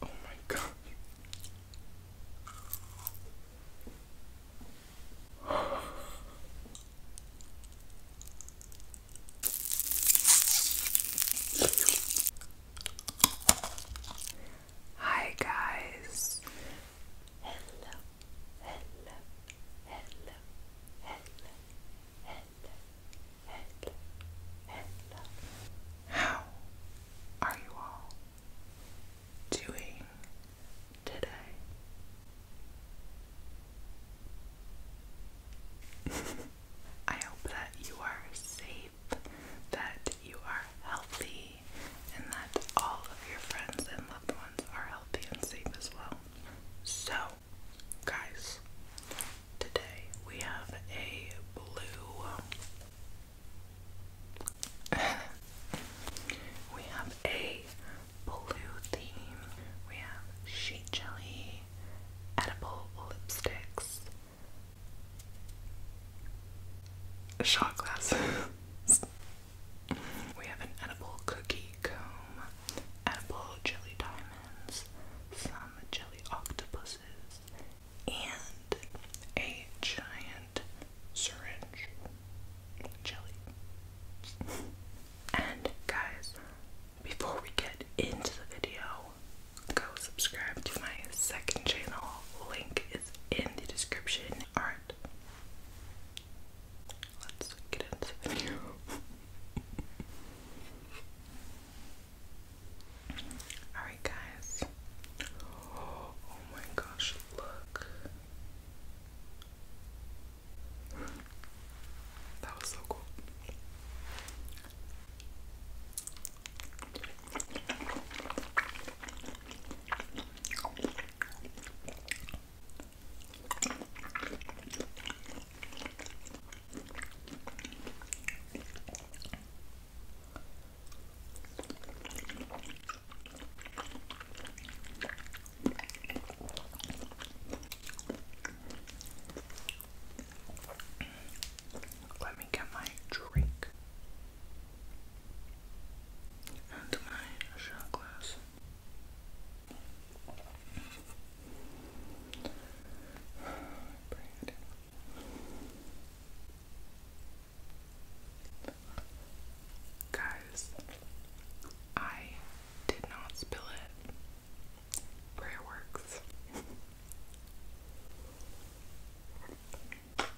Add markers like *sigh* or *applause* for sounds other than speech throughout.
Oh my god. *laughs* Hi guys hello, hello, hello, hello, hello, hello, hello. How are you all doing today? *laughs* I hope that you are safe, that you are healthy, healthy and that all of your friends and loved ones are healthy and safe as well. So, guys, today we have a blue. Um, *laughs* we have a blue theme. We have sheet jelly, edible lipsticks, shot glasses. *laughs* We have an edible cookie comb, edible jelly diamonds, some jelly octopuses, and a giant syringe jelly. And guys, before we get into the video, go subscribe to my second channel. Link is in the description. Alright, Let's get into the *laughs* Alright, guys. oh my gosh, look. That was so cool. Let me get my drink and my Guys, I did not spill it. Prayer works.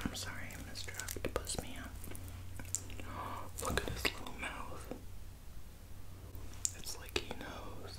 I'm sorry, Mr. Octopus Man. Look at his little mouth. It's like he knows.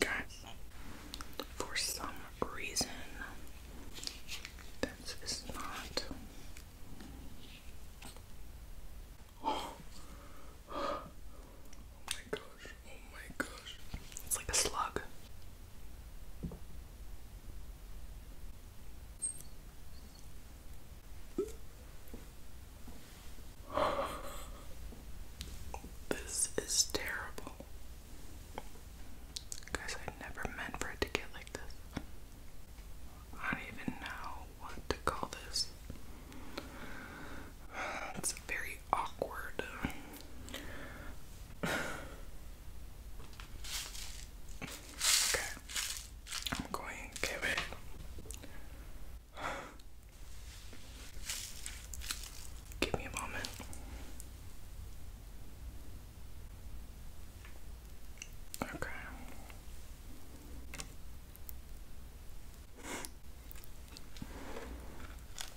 Guys, for some reason, this is not. Oh. *gasps* oh my gosh, oh my gosh. It's like a slug. *laughs* This is terrible. Guys, I never meant for it to get like this. I don't even know what to call this. *sighs* It's very awkward. *sighs* *sighs* Okay, I'm going to give it. Give me a moment. Okay.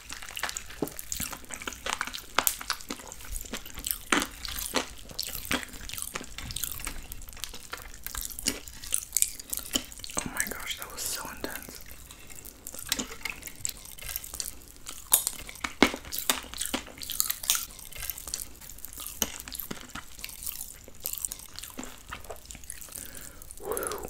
Oh my gosh, that was so intense. Whew.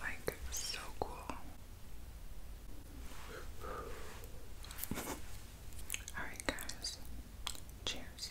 Like, so cool. *laughs* Alright, guys, cheers.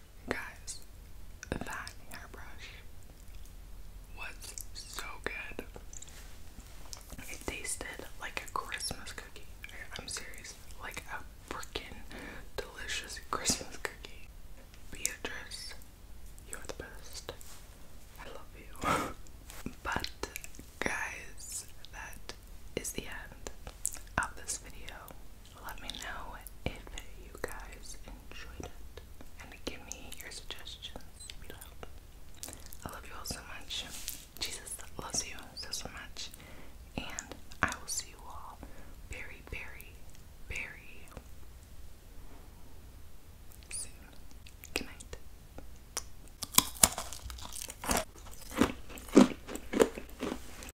Guys, that hairbrush was so good. It tasted like a Christmas cookie. I'm serious. Like a freaking delicious *laughs* Christmas cookie. Beatrice, you're the best. I love you. *laughs* but, guys, that is the end of this video. Let me know if you guys enjoyed it and give me your suggestions below. I love you all so much. Jesus loves you so, much. And I will see you all very, very, very soon. Good night.